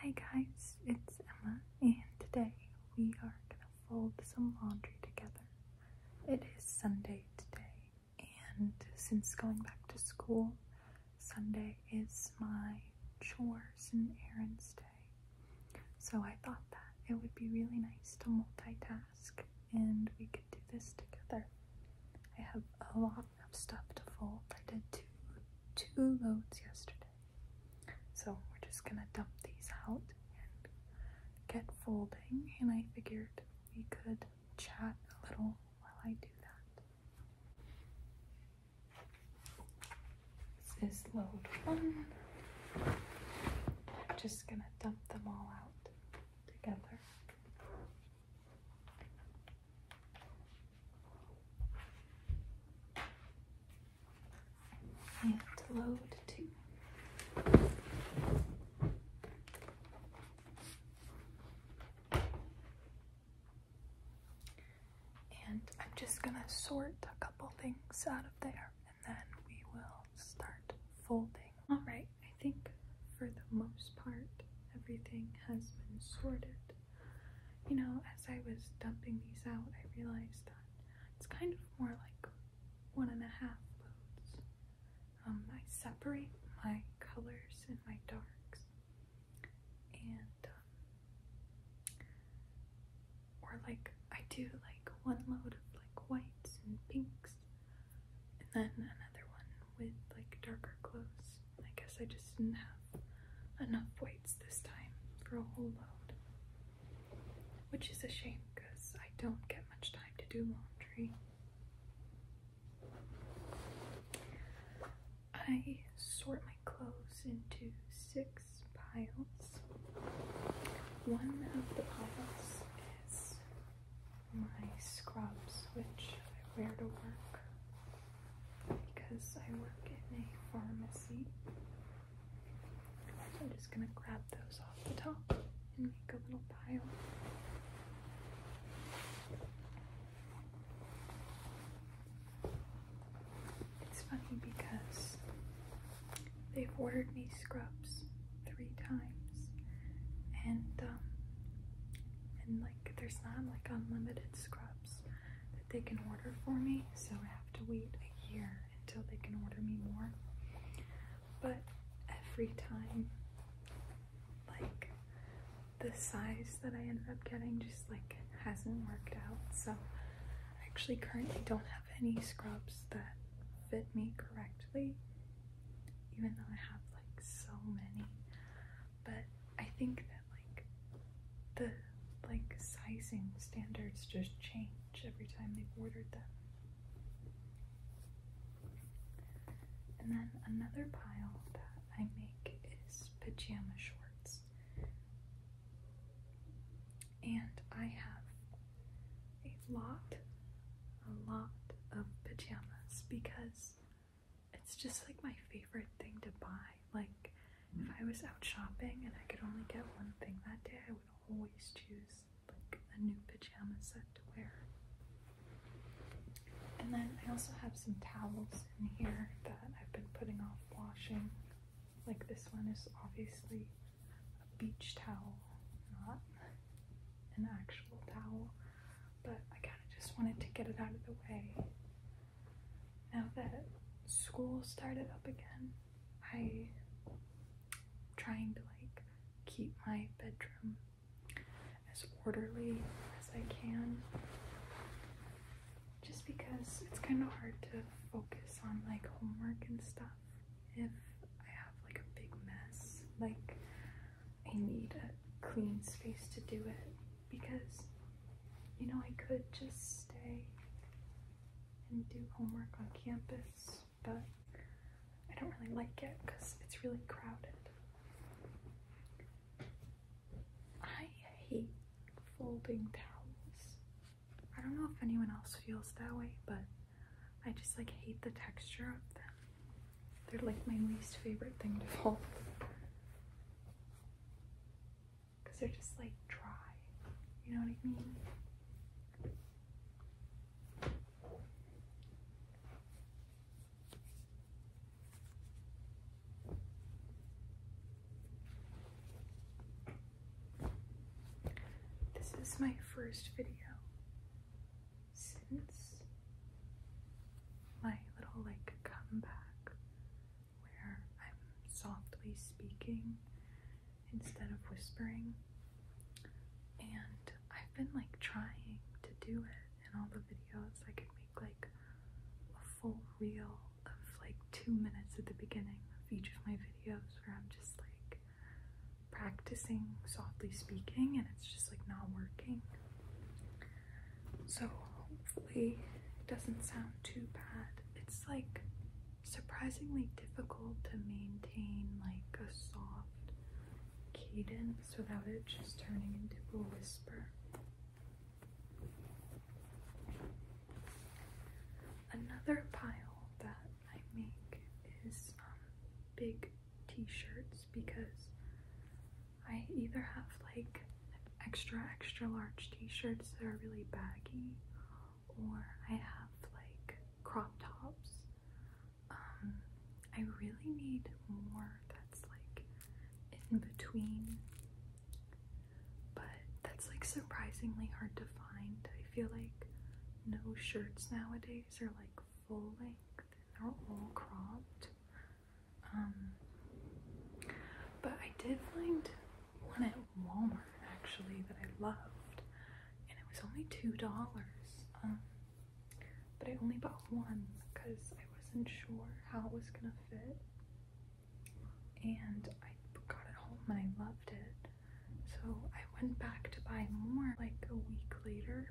Hi guys, it's Emma and today we are going to fold some laundry together. It is Sunday today and since going back to school, Sunday is my chores and errands day. So I thought that it would be really nice to multitask and we could do this together. I have a lot of stuff to fold. I did two, two loads yesterday. So we're just gonna dump these out and get folding. And I figured we could chat a little while I do that. This is load one. I'm just gonna dump them all out together. And load two. And I'm just going to sort a couple things out of there and then we will start folding. Alright, I think for the most part everything has been sorted you know, as I was dumping these out, I realized that it's kind of more like one and a half loads. Um, I separate my colors and my darks, and um, or like I do like one load of like whites and pinks, and then another one with like darker clothes I guess I just didn't have enough weights this time for a whole load. Which is a shame because I don't get much time to do laundry. I sort my clothes into six piles. One of the piles is my scrubs, which I wear to work because I work in a pharmacy. I'm just going to grab those off the top and make a little pile. It's funny because they've ordered me scrubs three times and um, and like there's not like unlimited scrubs that they can order for me, so I have to wait a year until they can order me more. But every time, like the size that I ended up getting just like hasn't worked out, so I actually currently don't have any scrubs that fit me correctly, even though I have like so many but I think that like the like sizing standards just change every time they've ordered them. And then another pile that I make is pajama shorts. And I have a lot, a lot of pajamas because it's just like my favorite thing to buy. Like, if I was out shopping and I could only get one thing that day, I would always choose like a new pajama set to wear. And then I also have some towels in here that I've been putting off washing. Like this one is obviously a beach towel, not an actual towel, but I kind of just wanted to get it out of the way. Now that school started up again, I'm trying to like keep my bedroom as orderly as I can. Just because it's kind of hard to focus on like homework and stuff if I have like a big mess. Like, I need a clean space to do it because you know I could just stay and do homework on campus, but I don't really like it because it's really crowded. I hate folding towels. I don't know if anyone else feels that way, but I just like hate the texture of them. They're like my least favorite thing to fold because they're just like dry. You know what I mean? This is my first video since my little like comeback where I'm softly speaking instead of whispering. And I've been like trying to do it in all the videos. I could make like a full reel of like two minutes at the beginning of each of my videos where I'm just like practicing softly speaking and it's just like not working. So hopefully it doesn't sound too bad. It's like surprisingly difficult to maintain like a soft cadence without it just turning into a whisper. Another pile that I make is um, big t-shirts because I either have like extra extra large t-shirts that are really baggy or I have like crop tops. Um I really need more that's like in between but that's like surprisingly hard to find. I feel like no shirts nowadays are like full length. They're all cropped. Um, but I did find one at Walmart actually that I loved, and it was only two dollars. Um, but I only bought one because I wasn't sure how it was gonna fit, and I got it home and I loved it. So I went back to buy more like a week later,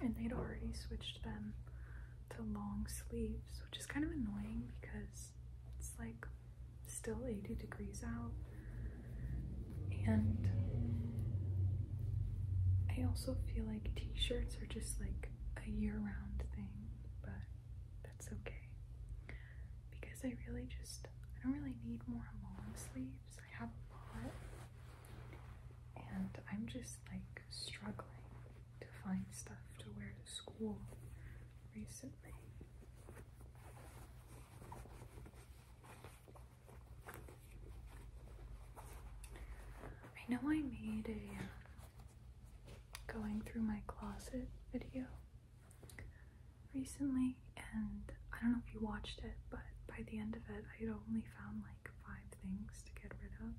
and they'd already switched them to long sleeves, which is kind of annoying because it's like still 80 degrees out. And I also feel like t shirts are just like a year round thing, but that's okay. Because I really just, I don't really need more long sleeves. I have a lot. And I'm just like struggling to find stuff to wear to school recently. I know I made a uh, going through my closet video recently, and I don't know if you watched it, but by the end of it, I had only found like five things to get rid of.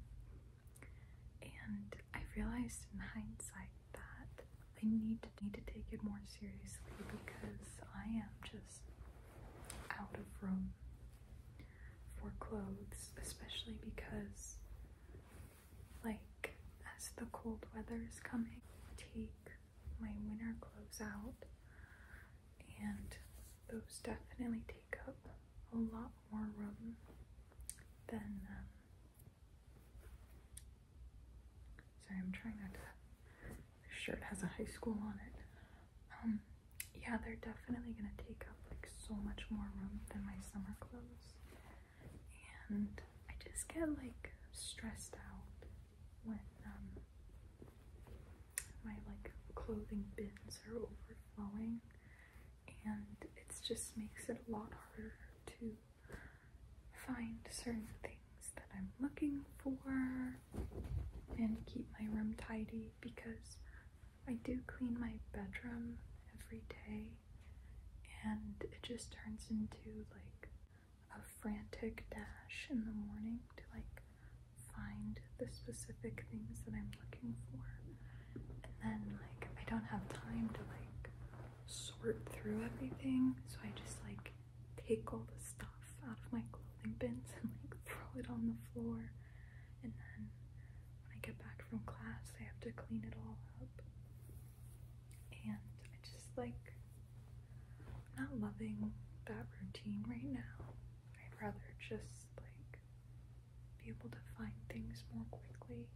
And I realized in hindsight that I need to need to take it more seriously because I am just out of room for clothes, especially because like as the cold weather is coming, take my winter clothes out and those definitely take up a lot more room than um, Sorry, I'm trying not to. This shirt has a high school on it. Um, yeah, they're definitely gonna take up like so much more room than my summer clothes, and I just get like stressed out when um, my like clothing bins are overflowing, and it just makes it a lot harder to find certain things that I'm looking for and keep my room tidy because I do clean my bedroom every day and it just turns into like a frantic dash in the morning to like find the specific things that I'm looking for and then like I don't have time to like sort through everything, so I just like take all the stuff out of my clothing bins and like throw it on the floor, and then when I get back from class, I have to clean it all up, and I just like not loving that routine right now. I'd rather just like be able to find things more quickly.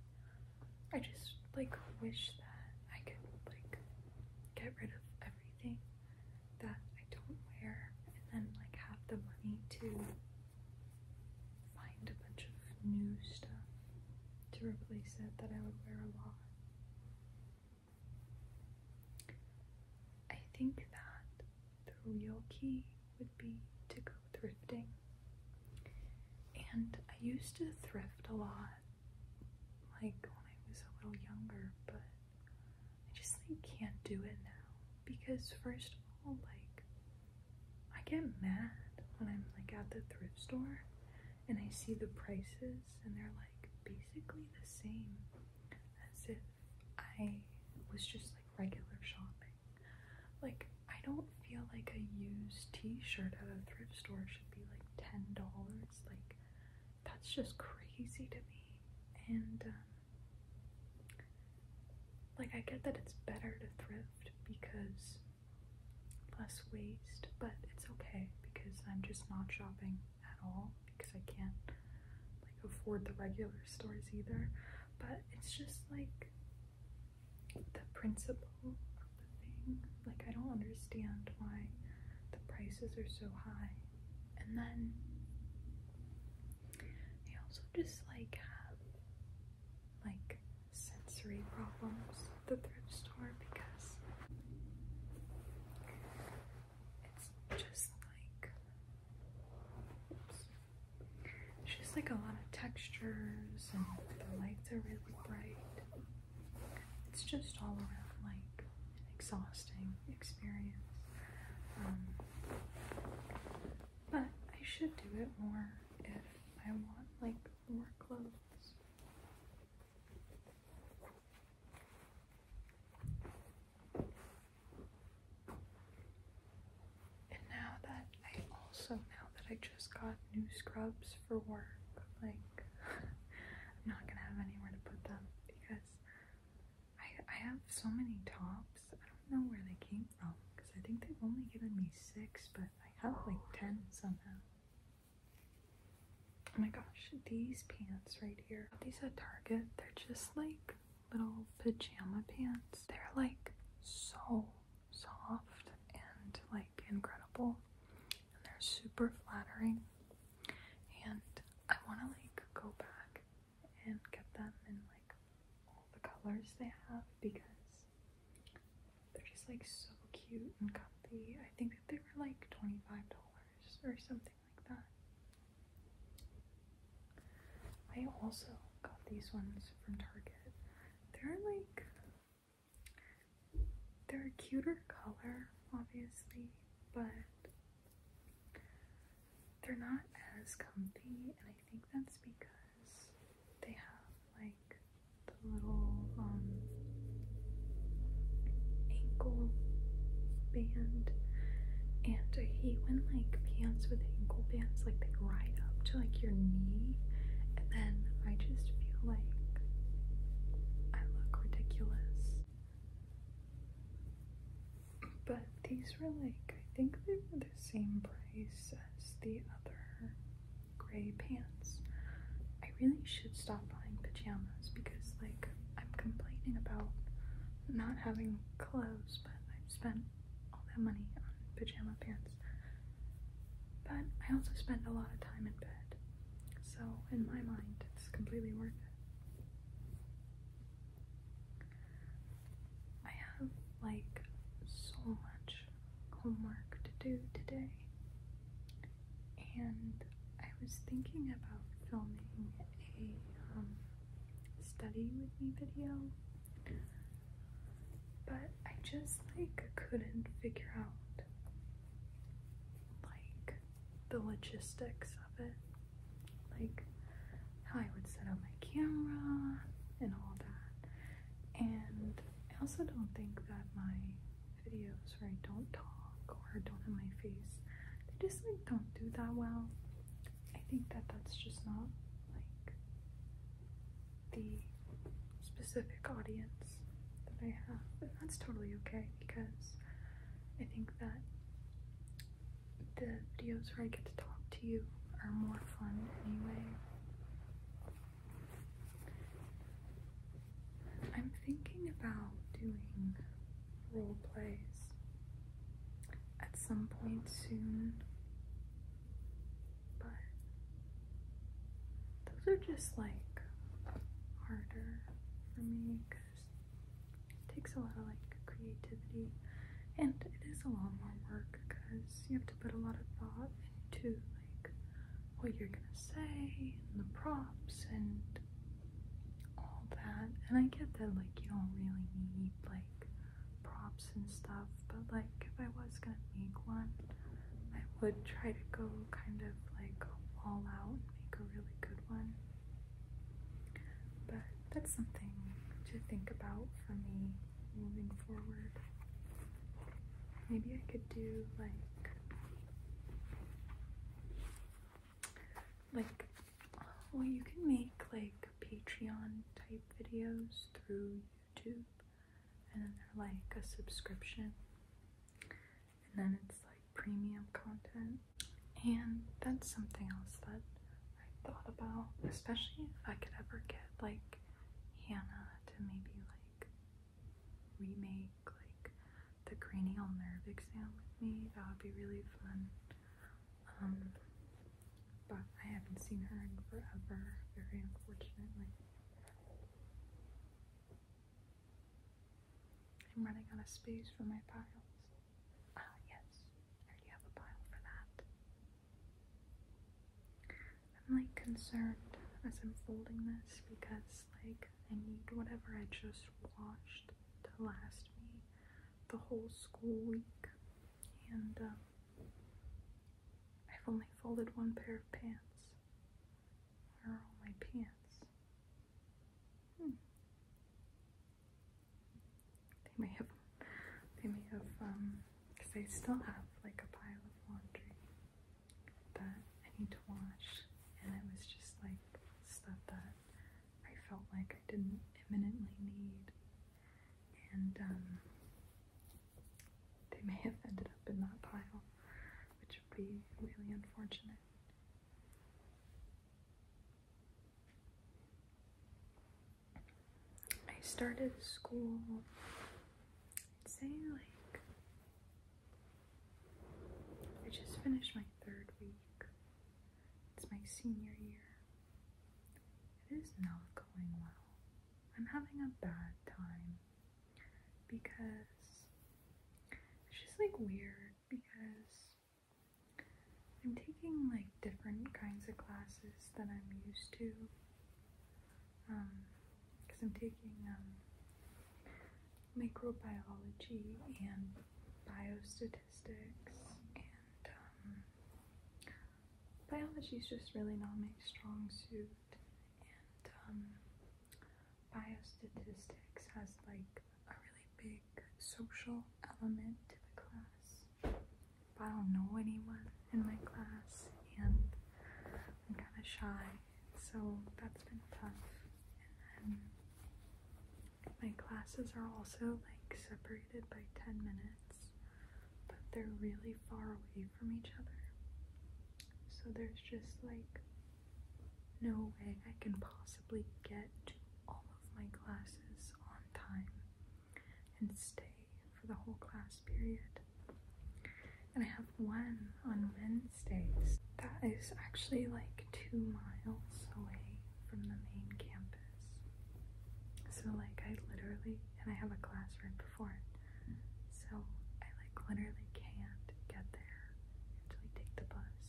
I just like wish that I could like get rid of everything that I don't wear and then like have the money to find a bunch of new stuff to replace it that I would wear a lot. I think that the real key would be to go thrifting. And I used to thrift a lot, like when I was a little younger, but I just like can't do it now because first of all, like I get mad when I'm like at the thrift store and I see the prices and they're like basically the same as if I was just like regular shopping. Like, I don't feel like a used t-shirt at a thrift store should be like ten dollars. Like, that's just crazy to me. And um, like, I get that it's better to thrift because less waste, but it's okay because I'm just not shopping at all because I can't like afford the regular stores either. But it's just like the principle of the thing. Like, I don't understand why the prices are so high. And then they also just like have like sensory problems at the thrift store because it's just like it's just like a lot of textures and the lights are really bright. It's just all around like an exhausting experience. Um, but I should do it more if I want like more clothes. And now that I also, now that I just got new scrubs for work, like, I'm not gonna have anywhere to put them because I, I have so many tops. I don't know where they came from because I think they've only given me six, but I have like 10 somehow. Oh my gosh, these pants right here. These at Target, they're just like little pajama pants. They're like so soft and like incredible and they're super flattering and I want to like go back and get them in like all the colors they have because they're just like so cute and comfy. I think that they were like $25 or something like that. I also got these ones from Target. They're like they're a cuter color, obviously, but they're not as comfy, and I think that's because they have like the little um, ankle band. And I hate when like pants with ankle bands like they ride up to like your knee and then I just feel like I look ridiculous. But these were like, I think they were the same price as the other gray pants. I really should stop buying pajamas because, like, I'm complaining about not having clothes, but I've spent all that money on pajama pants. But I also spend a lot of time in bed, so in my mind, it's completely worth it. I have like so much homework to do today, and I was thinking about filming a um, study with me video but I just like couldn't figure out like the logistics of it, like how I would set up my camera and all that. And I also don't think that my videos where I don't talk or don't have my face, they just like don't do that well. I think that that's just not like the specific audience that I have. And that's totally okay because I think that the videos where I get to talk to you are more fun anyway. I'm thinking about doing role plays at some point soon but those are just like harder for me because it takes a lot of like creativity and it is a lot more work because you have to put a lot of thought into like what you're gonna say and the props and all that and I get that like you don't really need like props and stuff, but like if I was gonna make one, I would try to go kind of like all out and make a really good one. But that's something to think about for me moving forward. Maybe I could do like like well you can make like Patreon type videos through YouTube and then they're like a subscription and then it's like premium content and that's something else that I thought about especially if I could ever get like Hannah to maybe like remake like the cranial nerve exam with me that would be really fun um, but I haven't seen her in forever very unfortunately I'm running out of space for my piles. Ah, yes. I already have a pile for that. I'm like concerned as I'm folding this because like I need whatever I just washed to last me the whole school week. And um, I've only folded one pair of pants. Where are all my pants? Hmm. They may have, they may have, because um, I still have like a pile of laundry that I need to wash, and it was just like stuff that I felt like I didn't imminently need, and um, they may have ended up in that pile, which would be really unfortunate. I started school, I'd say like, I just finished my third week. It's my senior year. It is not going well. I'm having a bad time because it's just like weird because I'm taking like different kinds of classes than I'm used to. Um, because I'm taking um, microbiology and biostatistics and um, biology is just really not my strong suit and um, biostatistics has like a really big social element to the class. I don't know anyone in my class, and I'm kind of shy, so that's been tough. my classes are also like separated by 10 minutes, but they're really far away from each other. So there's just like no way I can possibly get to all of my classes on time and stay for the whole class period. And I have one on Wednesdays that is actually like two miles away from the main campus. So, like, I literally, and I have a class right before it. So I like literally can't get there until I take the bus.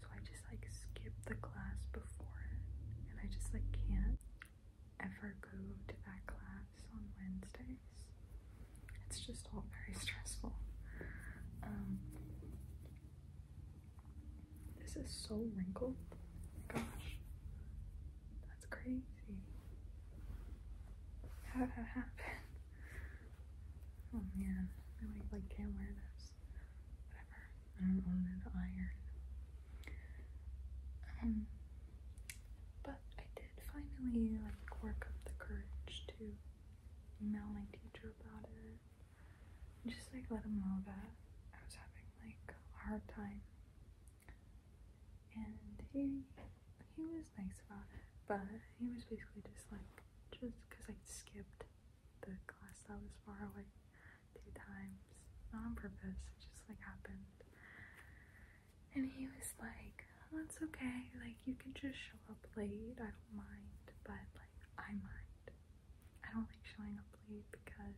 So I just like skip the class before it and I just like can't ever go to that class on Wednesdays. It's just all very stressful. Um, this is so wrinkled. Gosh. That's crazy. How did that happen? Oh man, I like can't wear this. Whatever. I don't own an iron. Um but I did finally like work up the courage to email my teacher about it. just like let them know that I was having like a hard time and he he was nice about it, but he was basically just like just because I skipped the class that was far away two times, not on purpose. It just like happened. And he was like, "That's oh, okay. Like you can just show up late. I don't mind, but like I mind. I don't like showing up late because."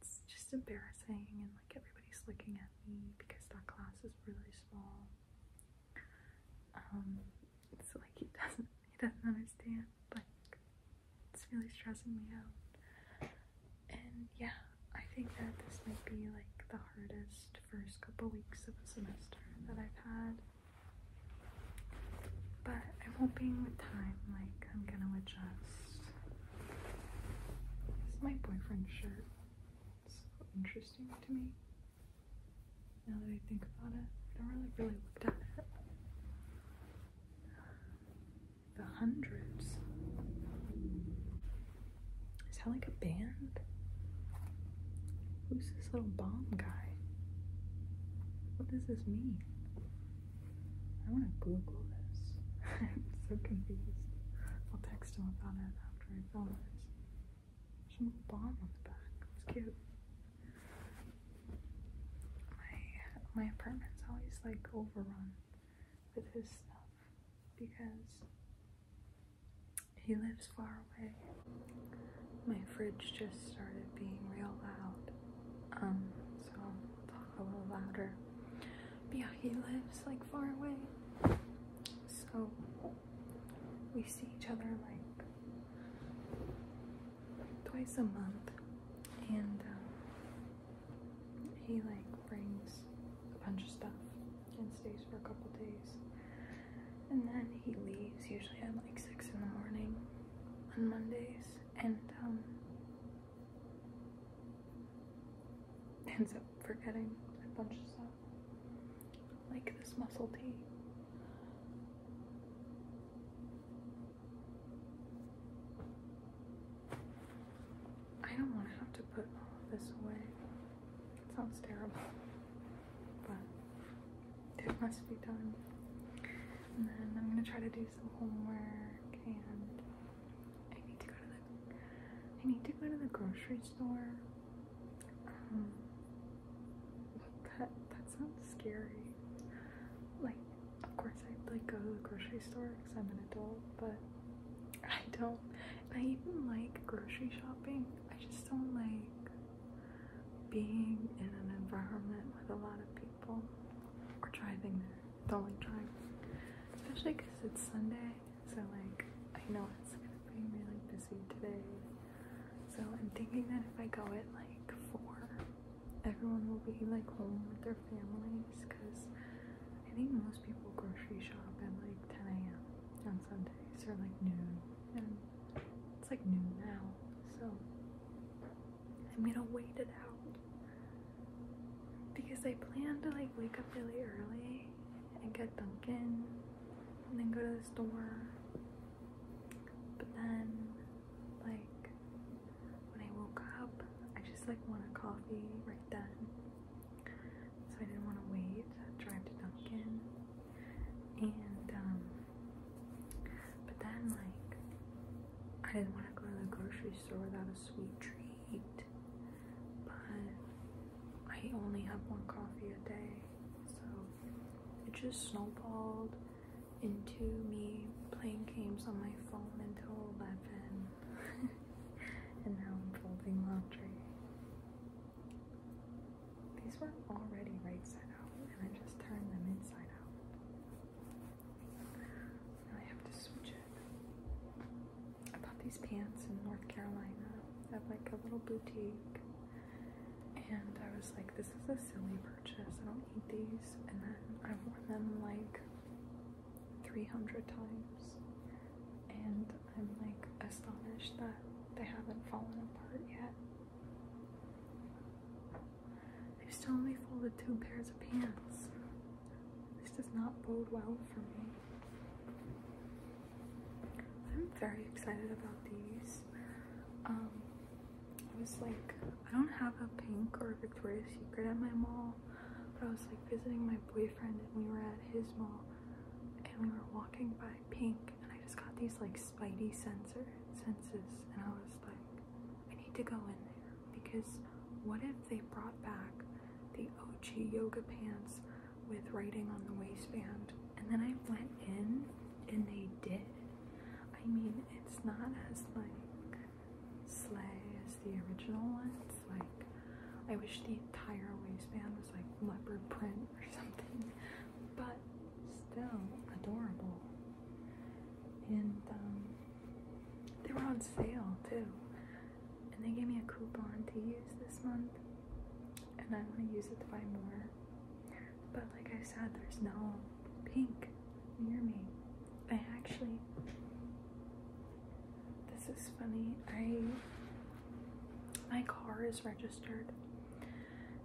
It's just embarrassing and like everybody's looking at me because that class is really small. Um, it's like he doesn't he doesn't understand, Like it's really stressing me out. And yeah, I think that this might be like the hardest first couple weeks of a semester that I've had. But I'm hoping with time, like I'm gonna adjust this is my boyfriend's shirt. so interesting to me. Now that I think about it, I don't really really looked at it. The hundreds. Is that like a band? Who's this little bomb guy? What does this mean? I want to Google this. I'm so confused. I'll text him about it after I film this. bomb on the back. It's cute. My my apartment's always like overrun with his stuff because he lives far away. My fridge just started being real loud. Um, so talk a little louder. But yeah, he lives like far away. So we see each other like twice a month. And um, he like brings a bunch of stuff and stays for a couple days. And then he leaves usually at like 6 in the morning on Mondays. And um, ends up forgetting a bunch of stuff. Like this muscle tea. I don't want to have to put this away. It sounds terrible. But it must be done. And then I'm going to try to do some homework and I need to go to the I need to go to the grocery store. Um, that that sounds scary. Like, of course I like go to the grocery store because I'm an adult, but I don't. I even like grocery shopping. I just don't like being in an environment with a lot of people or driving there. Don't like driving, especially because it's Sunday so like I know it's gonna be really busy today. So I'm thinking that if I go at like four, everyone will be like home with their families because I think most people grocery shop at like 10 a.m. on Sundays or like noon. And it's like noon now. So I'm gonna wait it out because I plan to like wake up really early and get Dunkin' and then go to the store. But then, like, when I woke up, I just like wanted coffee right then. So I didn't want to wait, drive to Dunkin'. And, um, but then, like, I didn't want to go to the grocery store without a sweet treat but I only have one coffee a day, so it just snowballed into me playing games on my phone until 11 and now I'm folding laundry. These were already right side out and I just turned them inside out. Now I have to switch it. I bought these pants in North Carolina at like a little boutique, and I was like, this is a silly purchase. I don't need these, and then I wore them like 300 times, and I'm like astonished that they haven't fallen apart yet. I've still only folded two pairs of pants. This does not bode well for me. I'm very excited about these. Um, I was like, I don't have a pink or Victoria's Secret at my mall, but I was like visiting my boyfriend and we were at his mall and we were walking by pink and I just got these like spidey sensor senses and I was like, I need to go in there because what if they brought back the Oji yoga pants with writing on the waistband? And then I went in and they did. I mean, it's not as like sleigh as the original ones. like I wish the entire waistband was like leopard print or something, but still adorable. And um, they were on sale too and they gave me a coupon to use this month, and I want to use it to buy more. But like I said, there's no pink near me. I actually, this is funny. I my car is registered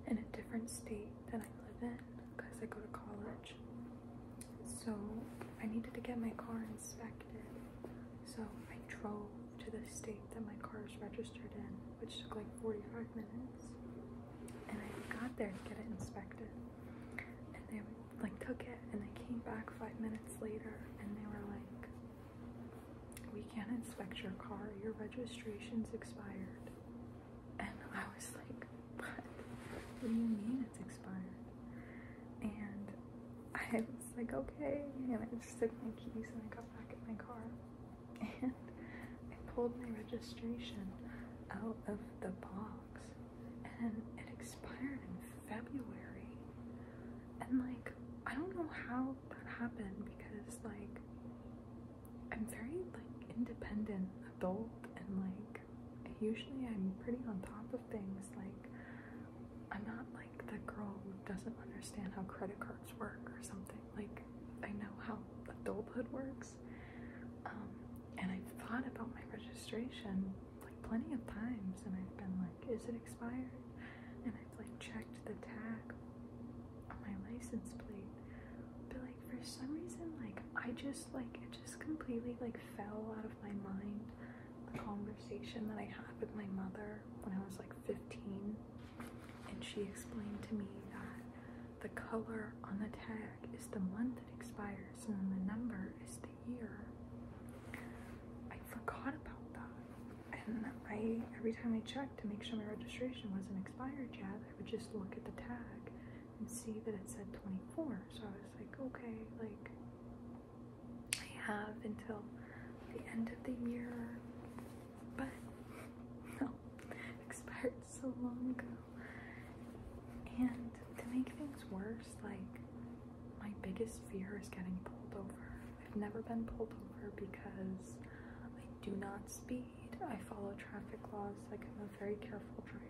in a different state than I live in because I go to college. So I needed to get my car inspected. So I drove to the state that my car is registered in, which took like 45 minutes. And I got there to get it inspected. And they like took it and they came back five minutes later and they were like, we can't inspect your car, your registration's expired. And I was like, what? What do you mean it's expired? And I was like, okay. And I just took my keys and I got back in my car. And I pulled my registration out of the box. And it expired in February. And like, I don't know how that happened because like, I'm very like independent adult and like, usually I'm pretty on top of things. Like, I'm not like the girl who doesn't understand how credit cards work or something. Like, I know how adulthood works. Um, and I've thought about my registration like plenty of times, and I've been like, is it expired? And I've like checked the tag on my license plate. But like, for some reason, like, I just like it just completely like fell out of my mind the conversation that I had with my mother when I was like 15, and she explained to me that the color on the tag is the month it expires, and the number is the year. I forgot about that, and I every time I checked to make sure my registration wasn't expired yet, I would just look at the tag and see that it said 24. So I was like, okay, like I have until the end of the year, but no, expired so long ago. And to make things worse, like my biggest fear is getting pulled over. I've never been pulled over because I do not speed. I follow traffic laws, like I'm a very careful driver.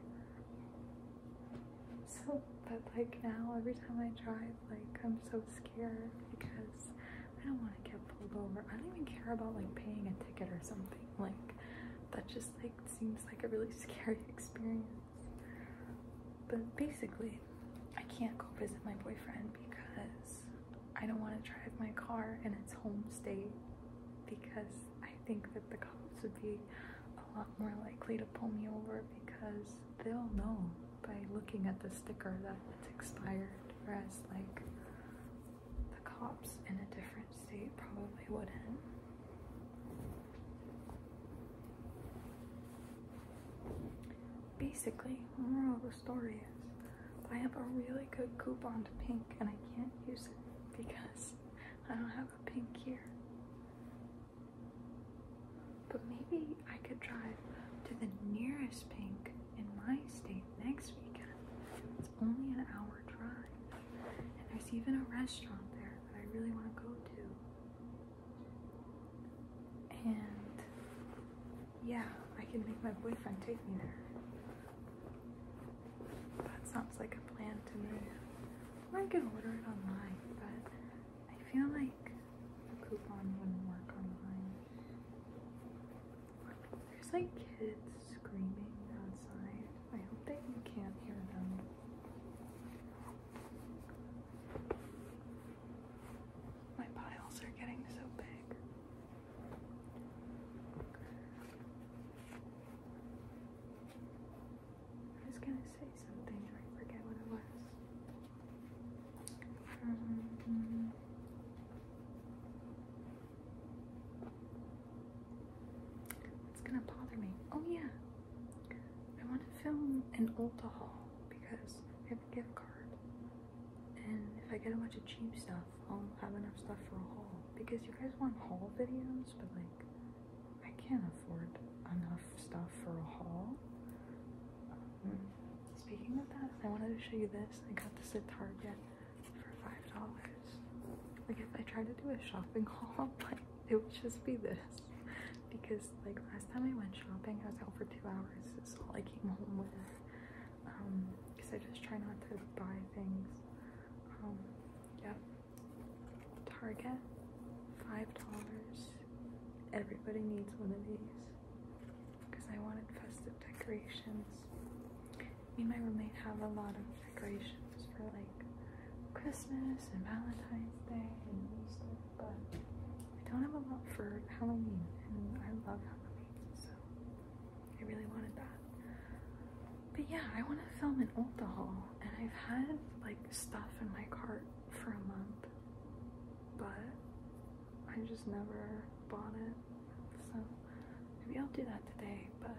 So, but like now, every time I drive, like I'm so scared because I don't want to get pulled over. I don't even care about like paying a ticket or something. Like that just like seems like a really scary experience. But basically, I can't go visit my boyfriend because I don't want to drive my car in its home state because I think that the cops would be a lot more likely to pull me over because they'll know by looking at the sticker that it's expired, whereas like the cops in a different state probably wouldn't. Basically, the moral of the story is I have a really good coupon to pink and I can't use it because I don't have a pink here. But maybe I could drive to the nearest pink in my state next weekend. It's only an hour drive. And there's even a restaurant there that I really want to go to. And yeah, I can make my boyfriend take me there. That sounds like a plan to me. I can order it online, but I feel like a coupon wouldn't work online. There's like kids screaming outside. I hope that you can't hear them. My piles are getting so big say something I forget what it was. Mm-hmm. it's gonna bother me. Oh yeah, I want to film an Ulta haul because I have a gift card, and if I get a bunch of cheap stuff, I'll have enough stuff for a haul. Because you guys want haul videos, but like I can't afford enough stuff for a haul. speaking of that, I wanted to show you this. I got this at Target for five dollars. Like if I try to do a shopping haul, like it would just be this. Because like last time I went shopping, I was out for two hours. It's all I came home with. because um, I just try not to buy things. Um, yeah. Target, five dollars. Everybody needs one of these because I wanted festive decorations. Me and my roommate have a lot of decorations for like Christmas and Valentine's Day and all stuff, but I don't have a lot for Halloween, and I love Halloween, so I really wanted that. But yeah, I want to film an old haul, and I've had like stuff in my cart for a month, but I just never bought it. So maybe I'll do that today, but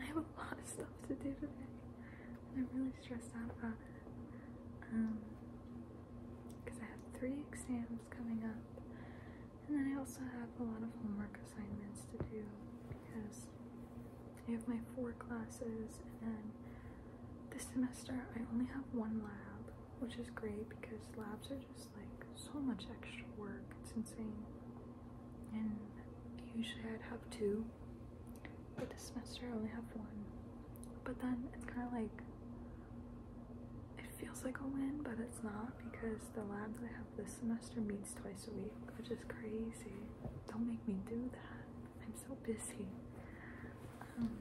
I have a lot of stuff to do today. And I'm really stressed out about it. Um because I have three exams coming up. And then I also have a lot of homework assignments to do because I have my four classes, and then this semester I only have one lab, which is great because labs are just like so much extra work. It's insane. And usually I'd have two, but this semester I only have one. But then it's kind of like it feels like a win, but it's not because the labs I have this semester meets twice a week, which is crazy. Don't make me do that. I'm so busy. Um,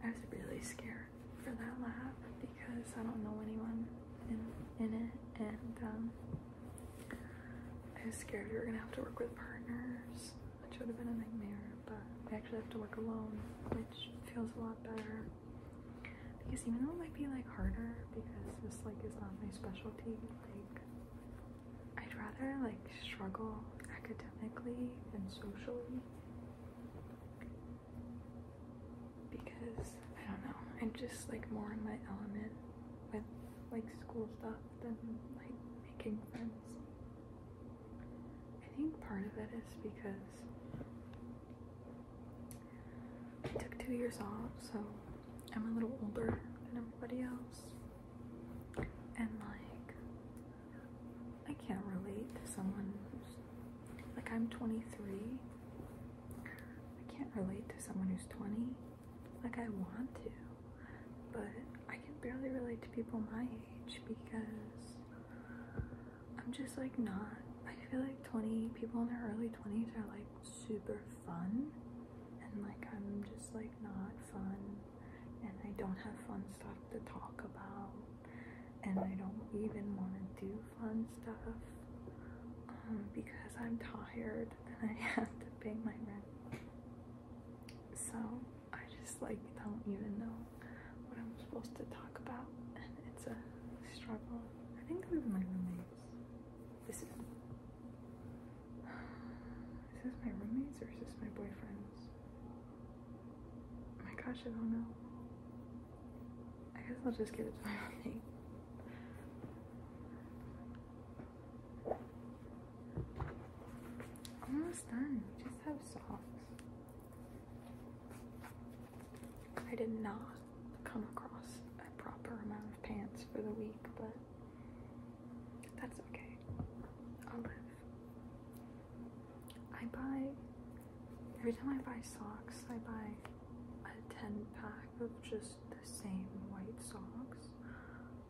I was really scared for that lab because I don't know anyone in, in it, and um, I was scared we were gonna have to work with partners, which would have been a nightmare, but we actually have to work alone, which feels a lot better. Because even though it might be like harder because this like is not my specialty, like I'd rather like struggle academically and socially because I don't know, I'm just like more in my element with like school stuff than like making friends. I think part of it is because I took two years off, so I'm a little older than everybody else. And like I can't relate to someone who's like I'm 23. I can't relate to someone who's 20. Like I want to, but I can barely relate to people my age because I'm just like not. I feel like 20 people in their early 20s are like super fun and like I'm just like not fun and I don't have fun stuff to talk about and I don't even want to do fun stuff um, because I'm tired and I have to pay my rent. So I just like don't even know what I'm supposed to talk about and it's a struggle. I think they're my roommates. This is is this my roommates or is this my boyfriend's? my gosh, I don't know. I guess I'll just give it to my roommate. Almost done. We just have socks. I did not come across a proper amount of pants for the week, but that's okay. I'll live. I buy every time I buy socks, I buy a 10 pack of just the same white socks.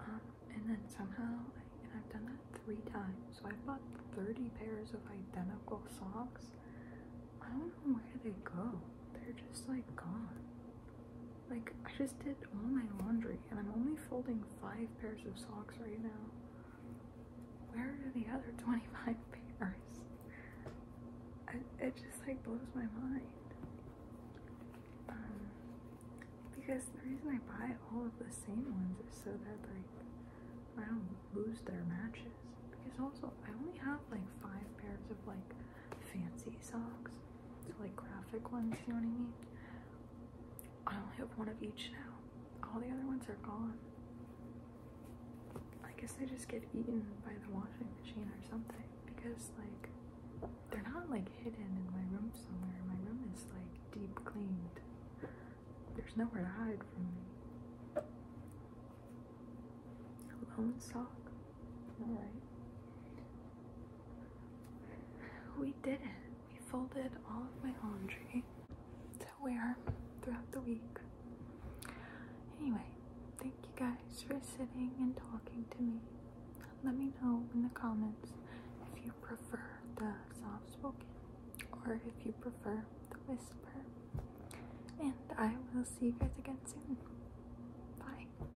Um, and then somehow, I, and I've done that three times, so i bought 30 pairs of identical socks. I don't know where they go, they're just like gone. Like, I just did all my laundry and I'm only folding five pairs of socks right now. Where are the other 25 pairs? it just like blows my mind. Um, because the reason I buy all of the same ones is so that like I don't lose their matches. Because also I only have like five pairs of like fancy socks. like graphic ones, you know what I mean? I only have one of each now. All the other ones are gone. I guess they just get eaten by the washing machine or something because like they're not like hidden in my room somewhere. My room is like deep cleaned. There's nowhere to hide from me. Lone sock. All right. We did it. We folded all of my laundry to wear throughout the week. Anyway, thank you guys for sitting and talking to me. Let me know in the comments if you prefer the soft spoken or if you prefer the whisper. And I will see you guys again soon. Bye.